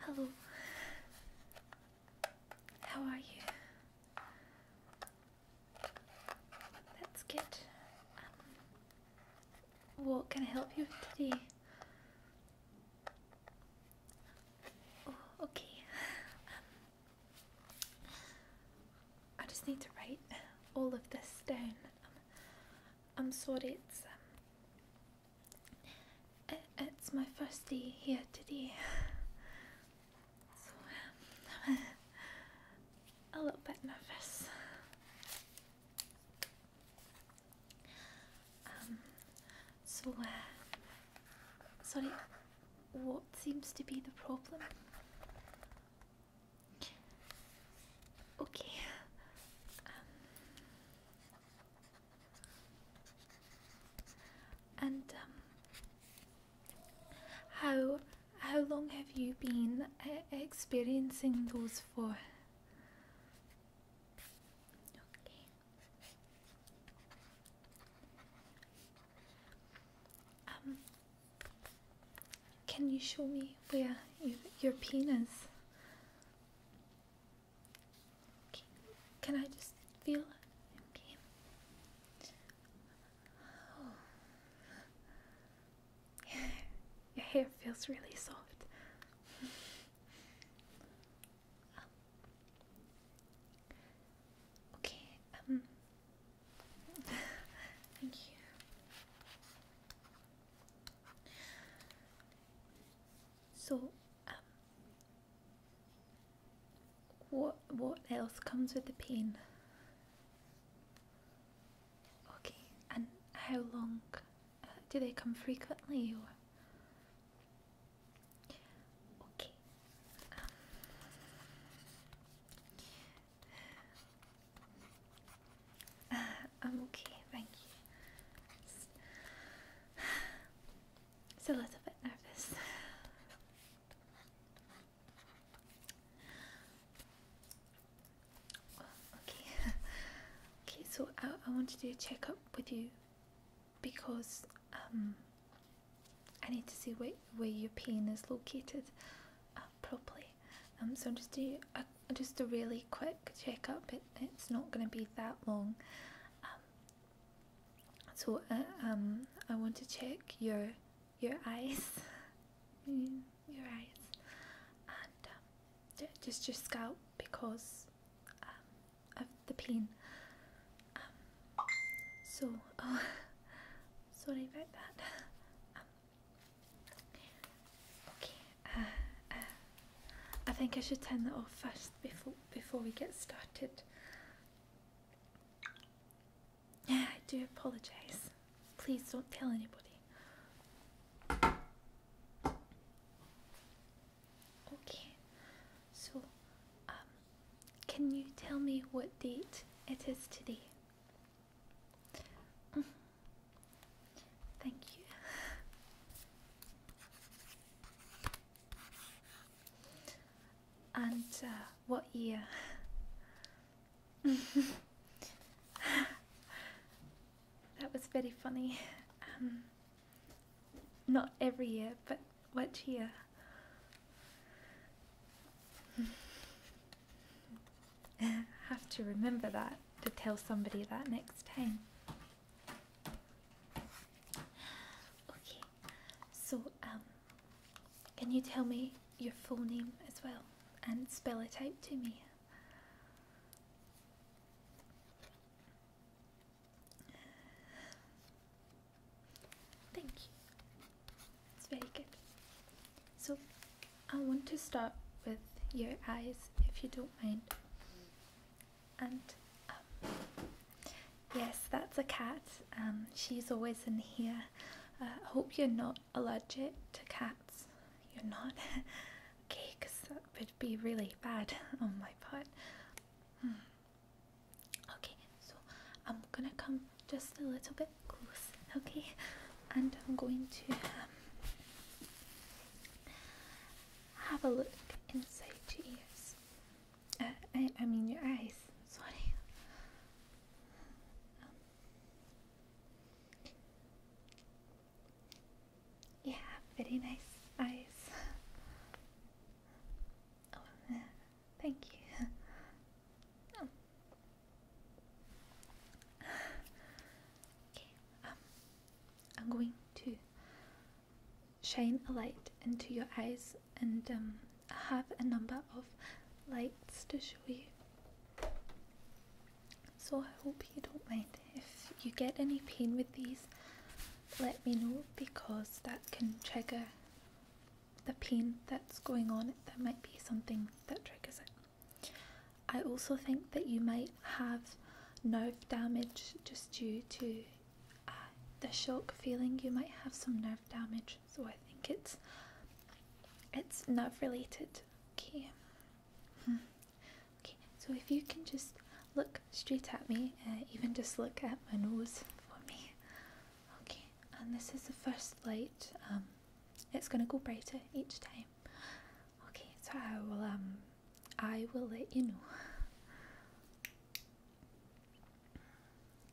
Hello. How are you? That's good. Um, what can I help you with today? Oh, okay. Um, I just need to write all of this down. Um, I'm sorry, it's um, it's my first day here today, so um, a little bit nervous. Um, so uh, sorry, what seems to be the problem? Okay. Um, and um, how how long have you been uh, experiencing those for? Um, can you show me where you, your penis? Can I just feel it? Okay. Your hair feels really soft. Okay. Um. Thank you. So, um, what what else comes with the pain? Okay, and how long uh, do they come frequently? Okay. Um, uh, I'm okay, thank you. It's, a little bit nervous. okay, okay. So I, I want to do a checkup with you because um, I need to see where where your pain is located uh, properly. Um, so just do a, uh, just a really quick checkup. It, it's not going to be that long. Um, so uh, um, I want to check your your eyes, mm, your eyes, and um, just your scalp because of the pain. so oh, sorry about that. Okay, uh, uh, I think I should turn that off first before before we get started. Yeah, I do apologise. Please don't tell anybody. Okay, so um, can you tell me what date it is today? Thank you. And uh, what year? that was very funny. Um, not every year, but what year? have to remember that to tell somebody that next time. Okay, so um, can you tell me your full name as well and spell it out to me? Thank you. It's very good. So I want to start with your eyes if you don't mind. And um, yes, that's a cat. Um, she's always in here. Uh, I hope you're not allergic to cats. You're not. okay, because that would be really bad on my part. Hmm. Okay, so I'm gonna come just a little bit okay? And I'm going to um, have a look inside your eyes. Uh, I, I mean, your eyes, sorry. yeah, very nice eyes. Oh, Thank you. Um, I'm going to shine a light into your eyes and um, have a number of lights to show you. So I hope you don't mind. If you get any pain with these, let me know because that can trigger the pain that's going on, that might be something that triggers it. I also think that you might have nerve damage just due to uh, the shock feeling. You might have some nerve damage, so I think it's it's nerve related. Okay. Hmm. okay. So if you can just look straight at me, uh, even just look at my nose for me. Okay and this is the first light. Um, it's gonna go brighter each time. Okay, so I will um, I will let you know.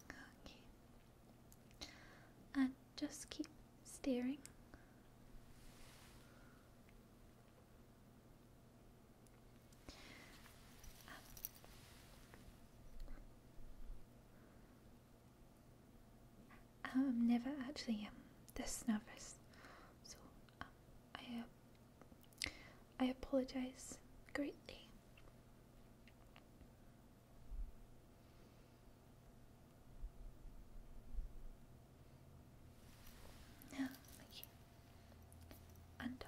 Okay, and just keep staring. I'm um, never actually um, this nervous, so um, I uh, I apologize greatly. Now, and uh,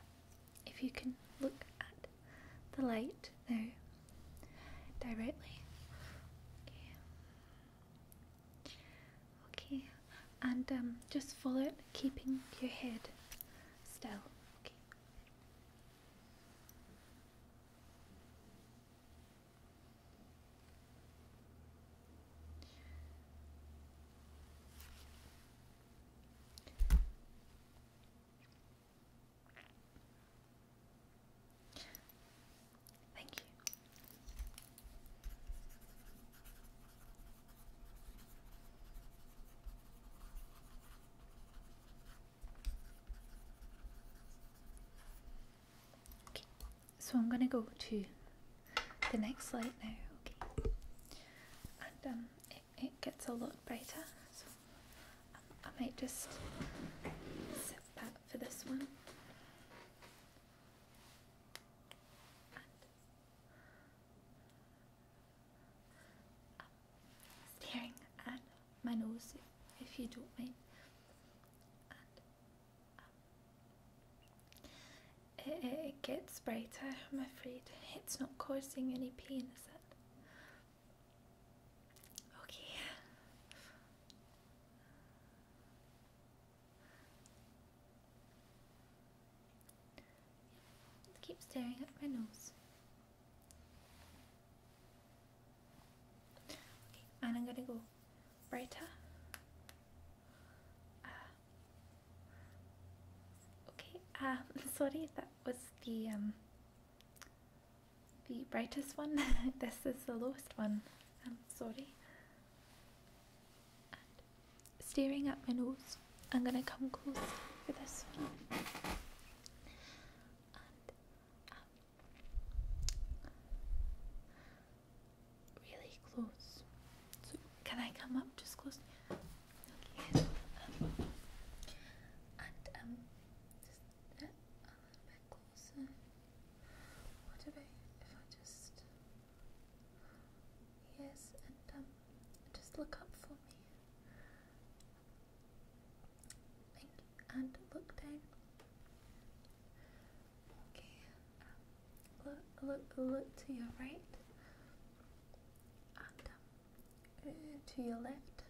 if you can look at the light there directly. Okay. And um, just follow it, keeping your head still. Thank you. Okay, so I'm gonna go to the next slide now. Okay, um, it gets a lot brighter, So um, I might just sit back for this one. staring at my nose, if, you don't mind. Um, it, gets brighter, I'm afraid. It's not causing any pain, is it? Okay. Let's keep staring at my nose. Okay, and I'm gonna go brighter. Uh, okay, um, sorry, that was the um, the brightest one. this is the lowest one. I'm sorry. staring at my nose, I'm gonna come close for this one. Um, really close. can I come up just close? Yes. and um, just a little bit closer. What about if I just yes, and um, just look up for me. Thank you. And look down. Okay. look, look, look to your right. And um, uh, to your left.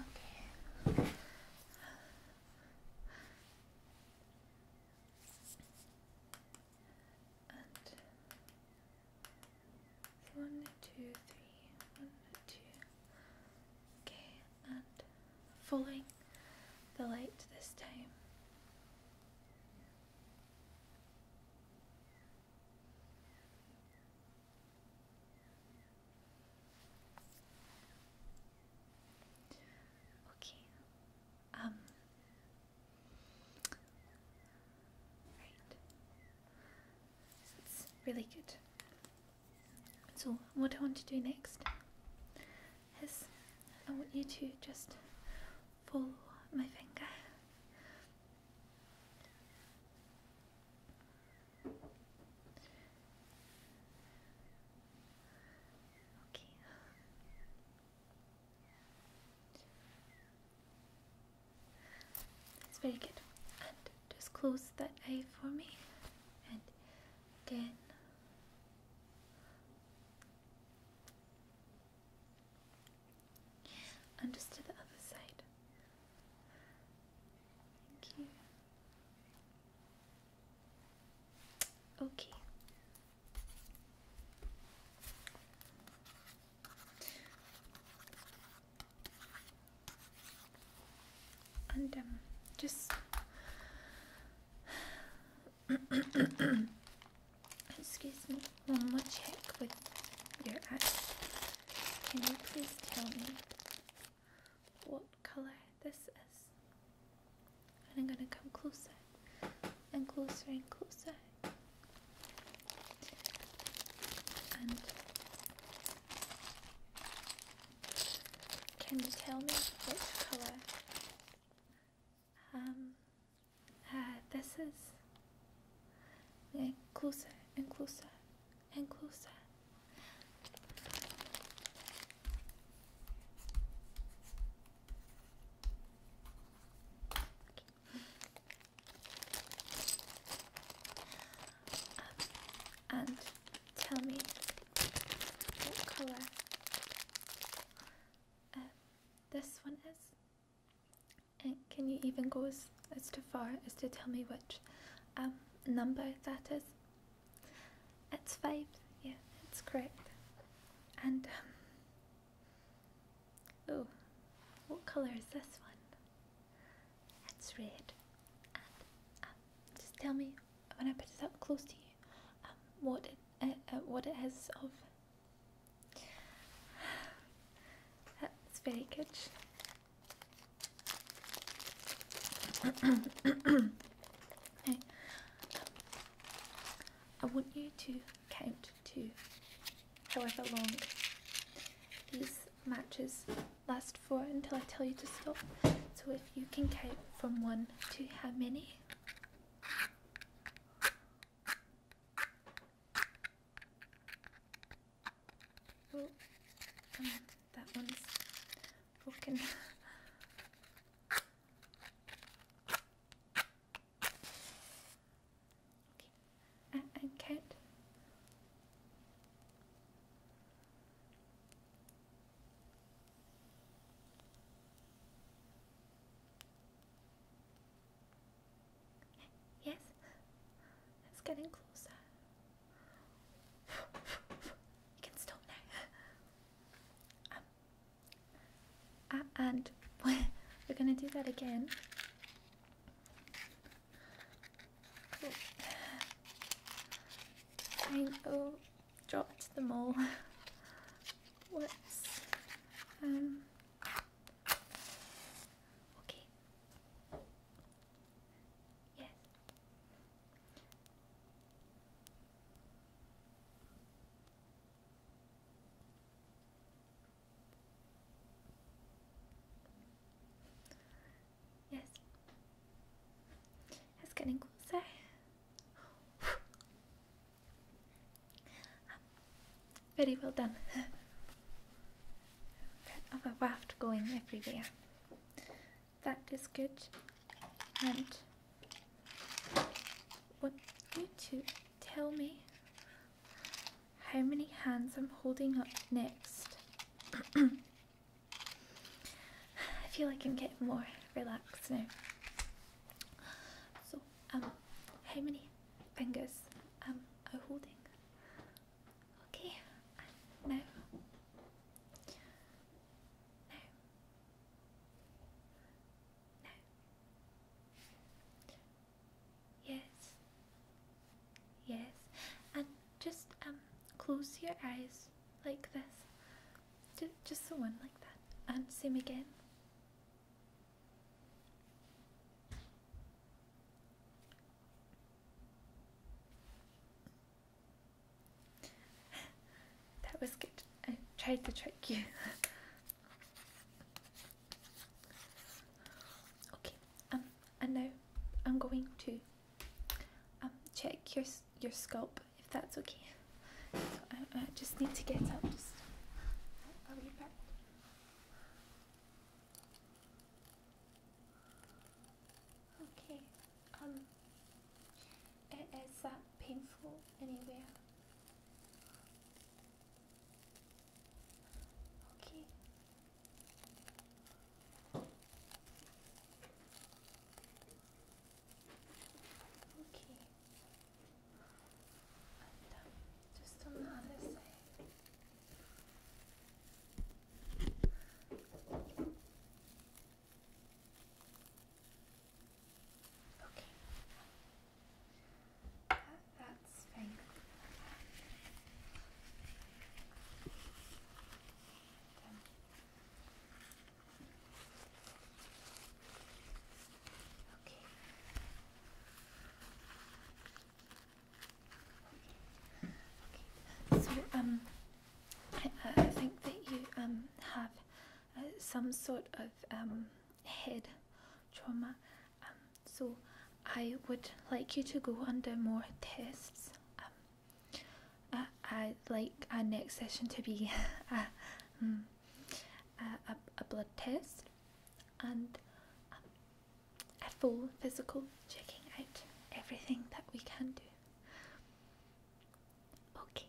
Okay. And one, two, three, one, two. Okay, and following the light this time. Okay. Um, right. That's really good. So, what I want to do next is I want you to just pull my finger. Okay. That's very good. And just close that eye for me. And again. And just to the other side. Thank you. Okay. And um, just Excuse me, one more check with your eyes. Can you please tell me what color this is? And I'm gonna come closer and closer and closer. And can you tell me what color um, uh, this is closer and closer and closer. Um, and tell me what color uh, this one is. And can you even go as, as far as to tell me which um, number that is? It's five. Yeah, it's correct. And um, oh, what color is this one? It's red. Um, just tell me when I put it up close to you um, what it uh, uh, what it is of that's very good. I want you to count to however long these matches last for until I tell you to stop. So if you can count from one to how many? Oh, come on, that one's broken. okay, and, and cat. Yes, it's getting closer. You can stop now. Um, uh, and we're gonna do that again. I know drop to the mall. What's um, okay. Yes. Yes. It's getting closer. very well done. of a raft going everywhere. That is good. And want you to tell me how many hands I'm holding up next. I feel like i can get more relaxed now. So, um, how many fingers um are holding? Okay, now, now, now. Yes, yes, and just um close your eyes like this just someone like that. And same again. that was good. I tried to trick you. okay, um, and now I'm going to um, check your your scalp if that's okay. I, just need to get up. Just Okay. Um. Is that painful anywhere? Okay. Okay. just on the other side. Okay. that's fine. So um, I, I think that you um have uh, some sort of um head trauma. Um, so I would like you to go under more tests. Um, I, I like our next session to be hmm, a, a, blood test and um, a full physical checking out everything that we can do. Okay.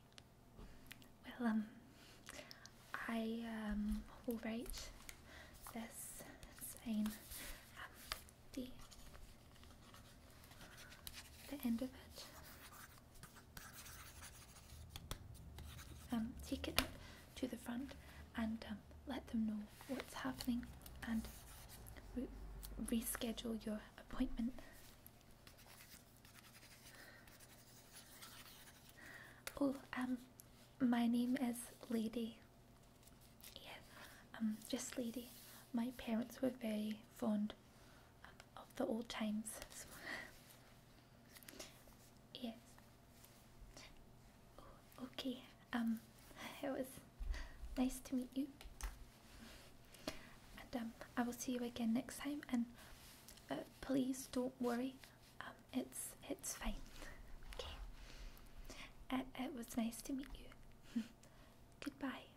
Well, um, I um, will write this same um, the the end of it um, take it up to the front and um, let them know what's happening and reschedule your appointment. Oh, um, my name is Lady. Yeah, um, just Lady. My parents were very fond of the old times. yes. Oh, okay. Um, it was nice to meet you. And um, I will see you again next time. And uh, please don't worry. Um, it's it's fine. Okay. It, uh, it was nice to meet you. Goodbye.